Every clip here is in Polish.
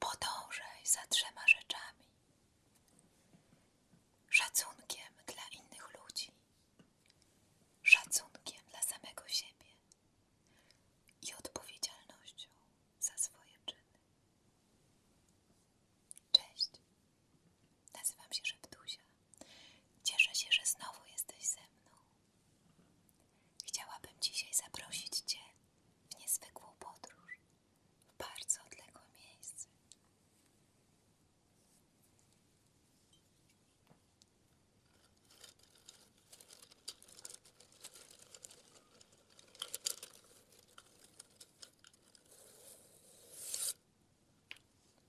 Podążaj za trzema rzeczami: szacunkiem dla innych ludzi, szacunkiem dla samego siebie i odpowiedzialnością za swoje czyny. Cześć. Nazywam się Szeptusia. Cieszę się, że znowu jesteś ze mną. Chciałabym dzisiaj zaprosić Cię w niezwykłą podróż, w bardzo odległe miejsce.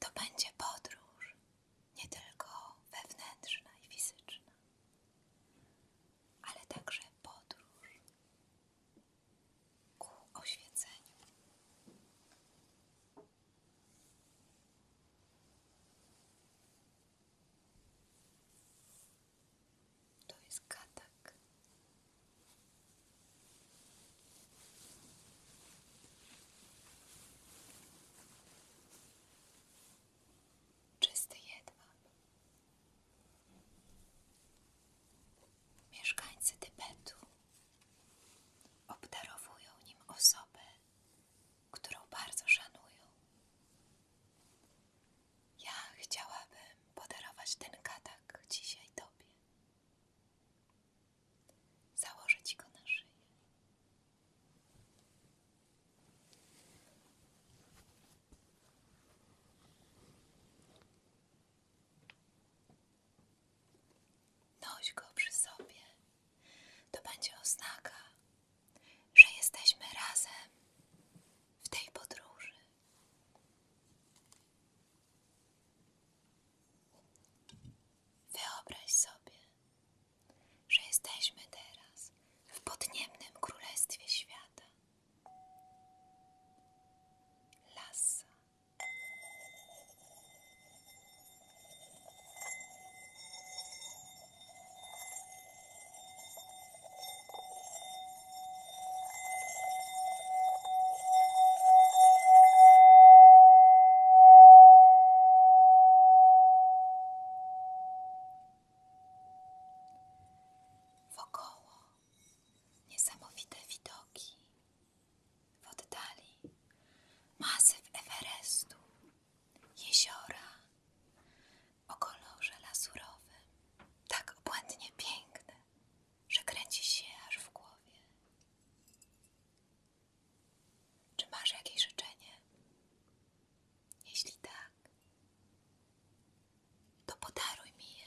To będzie podróż nie tylko wewnętrzna i fizyczna, ale także podróż ku oświetleniu. To jest katak, Czysty jedwab. Mieszkańcy Tybetu obdarowują nim osobę, którą bardzo szanują. Ja chciałabym podarować ten katak dzisiaj Tobie założyć go na szyję. Noś go przy sobie. To będzie oznaka, że jesteśmy razem w tej podróży. Wyobraź sobie, że jesteśmy teraz w podniebnym królestwie świata. Lasa. Wokoło niesamowite widoki, w oddali masyw Everestu, jeziora o kolorze lazurowym, tak obłędnie piękne, że kręci się aż w głowie. Czy masz jakieś życzenie? Jeśli tak, to podaruj mi je.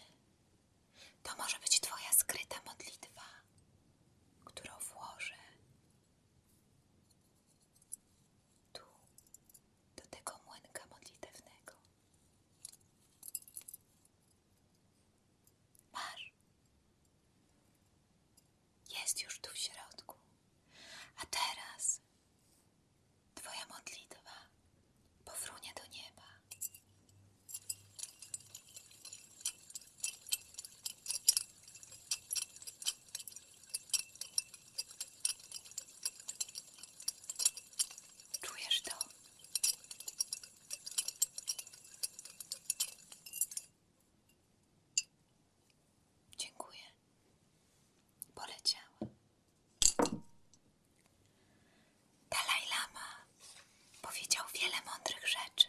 To może być Twoja skryta modlitwa, którą włożę tu, do tego młynka modlitewnego. Masz. Jest już tu w środku. A teraz Twoja modlitwa powrónie do nieba. Czujesz to? Dziękuję. Poleciała. Dalaj Lama powiedział wiele mądrych rzeczy,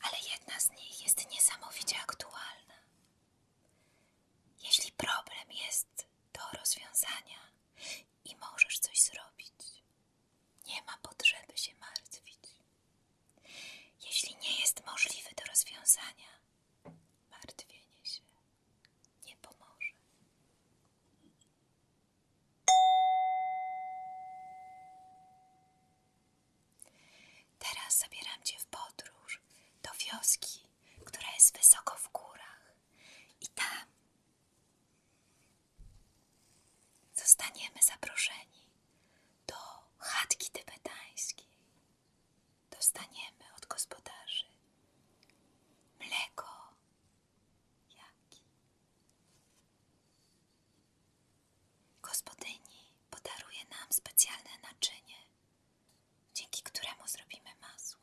ale jedna z nich jest niesamowicie aktualna. Jeśli problem jest do rozwiązania, i możesz coś zrobić. Nie ma potrzeby się martwić. Jeśli nie jest możliwy do rozwiązania, martwienie się nie pomoże. Teraz zabieram Cię w podróż do wioski, która jest wysoko w górach, i tam Zostaniemy zaproszeni do chatki tybetańskiej. Dostaniemy od gospodarzy mleko, jaki. Gospodyni podaruje nam specjalne naczynie, dzięki któremu zrobimy masło.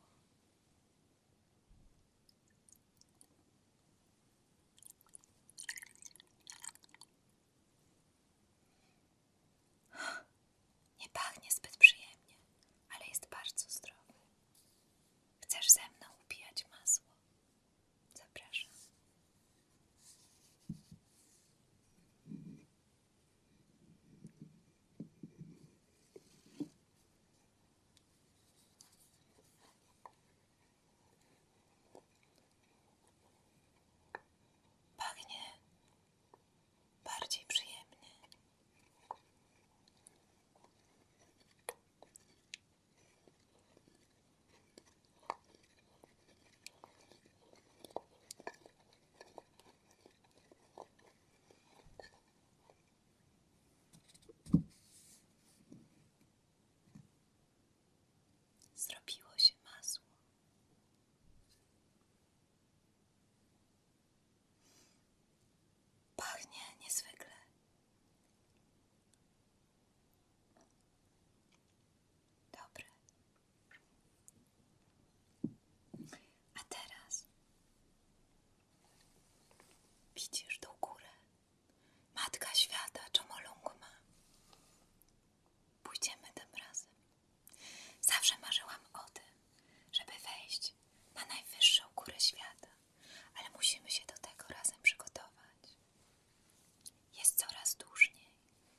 Nie pachnie zbyt przyjemnie, ale jest bardzo zdrowy. Chcesz ze mną upijać masło? Zapraszam. Pachnie bardziej przyjemnie. Zrobiło się masło. Pachnie niezwykle. Dobre. A teraz widzisz tą górę? Matka świata Chomolungma. Pójdziemy tam razem. Zawsze marzyłam o tym, żeby wejść na najwyższą górę świata, ale musimy się do tego razem przygotować. Jest coraz dłużniej,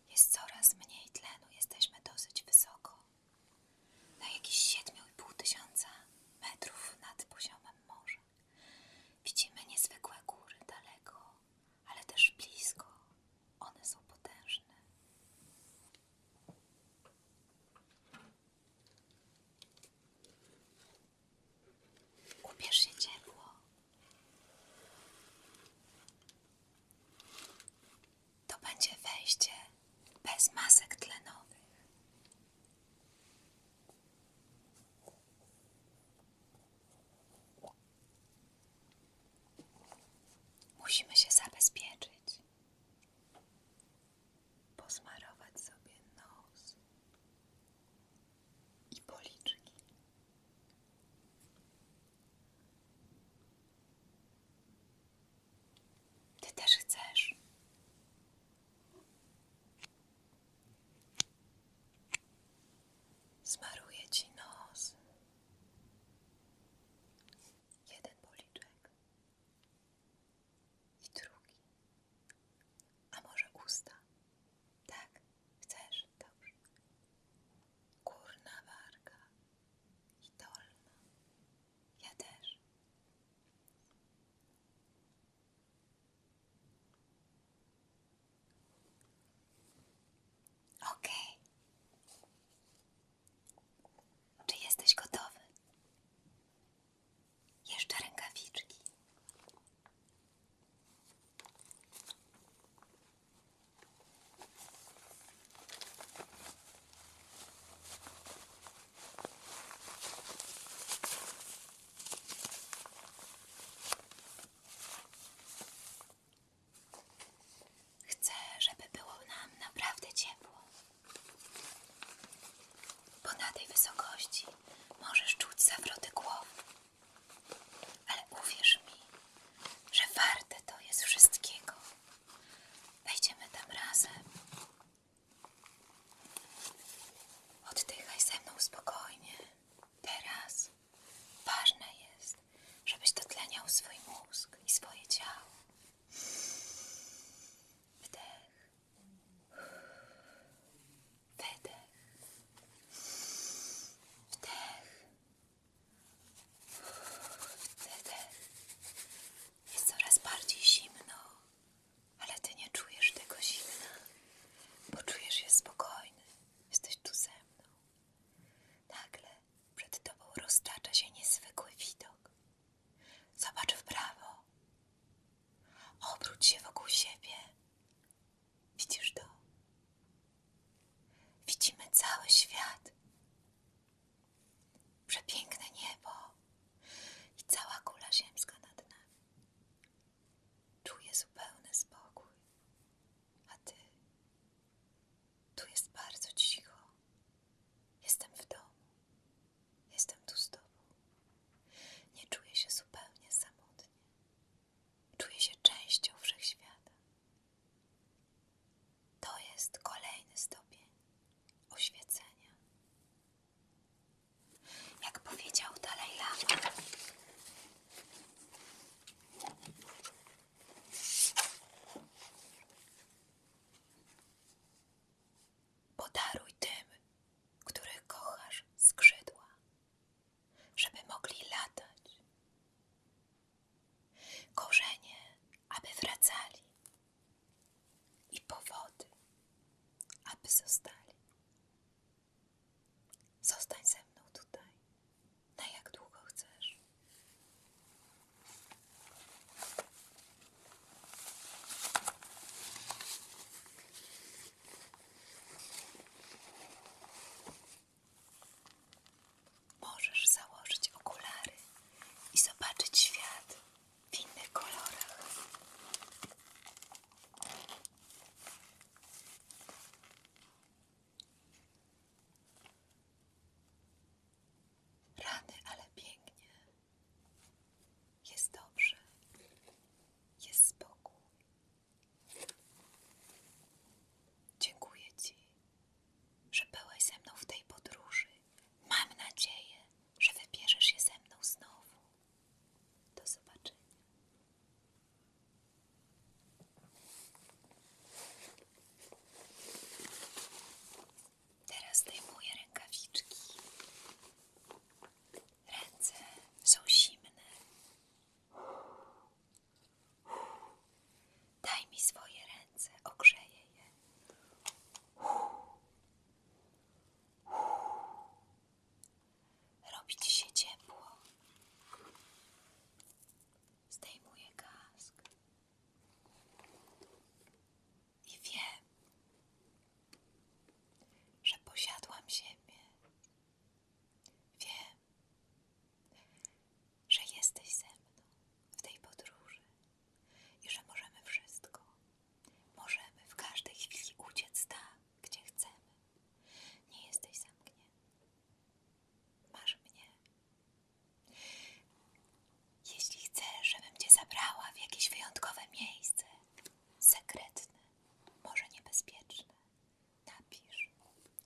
jest coraz mniej tlenu, jesteśmy dosyć wysoko na jakichś 7,5 tysiąca metrów nad poziomem morza. Widzimy niezwykłe góry daleko, ale też blisko. One są potężne. Ubierz się ciepło. To będzie wejście bez masek tlenowych. Musimy się zabezpieczyć. Posmarować sobie nos i policzki. Ty też chcesz. Smaruję ci nos. Jeden policzek i drugi. A może usta? Tak, chcesz? Dobrze. Górna warga i dolna. Ja OK. Czy jesteś gotowy? Jeszcze rękawiczki. Chcę, żeby było nam naprawdę ciepło. Bo na tej wysokości możesz czuć zawroty głowy. Ale uwierz mi, że warte to jest wszystkiego. Wejdziemy tam razem Oddychaj ze mną spokojnie. Teraz ważne jest, żebyś dotleniał swój mózg i swoje ciało. Wdech. wdech, Wdech. wdech. Jest coraz bardziej zimno, ale ty nie czujesz tego zimna, bo czujesz się spokojny. Jesteś tu ze mną. Nagle przed tobą roztacza się niezwykły widok. Zobacz w prawo. Obróć się wokół siebie. Widzisz to? Widzimy cały świat przepiękne niebo i cała kula ziemska nad nami. Czuję zupełny spokój. A ty? Tu jest bardzo cicho. Jestem w domu. Jestem tu z tobą. Nie czuję się zupełnie samotnie. Czuję się częścią wszechświata. To jest kolejny stopień oświecenia. Jak powiedział Dalaj Lama, podaruj tym, których kochasz, skrzydła, żeby mogli latać, korzenie, aby wracali i powody, aby zostali. Zostań ze mną tutaj, na jak długo chcesz możesz założyć okulary i zobaczyć świat w innych kolorach. Rany, ale pięknie. Jest dobrze. Jest spokój. Dziękuję Ci żebyłaś ze mną w tej podróży. Mam nadzieję, że wybierzesz się ze mną znowu. Do zobaczenia. Teraz zdejmuję rękawiczki. Ręce są zimne. Daj mi swoje ręce, ogrzeję je. Robi się ciepło. Zdejmuję kask. I wiem, że posiadłam ziemię. Wiem, że jesteś ze mną w tej podróży i że możemy wszystko. Możemy w każdej chwili uciec tam, gdzie chcemy. Nie jesteś zamknięty. Masz mnie. Jeśli chcesz, żebym cię zabrała w jakieś wyjątkowe miejsce, sekretne, może niebezpieczne, napisz.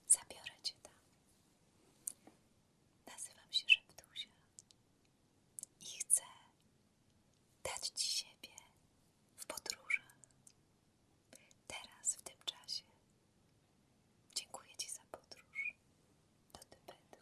Zabiorę cię tam. Nazywam się Szeptusia i chcę dać Ci siebie w podróżach, teraz, w tym czasie. Dziękuję Ci za podróż do Tybetu.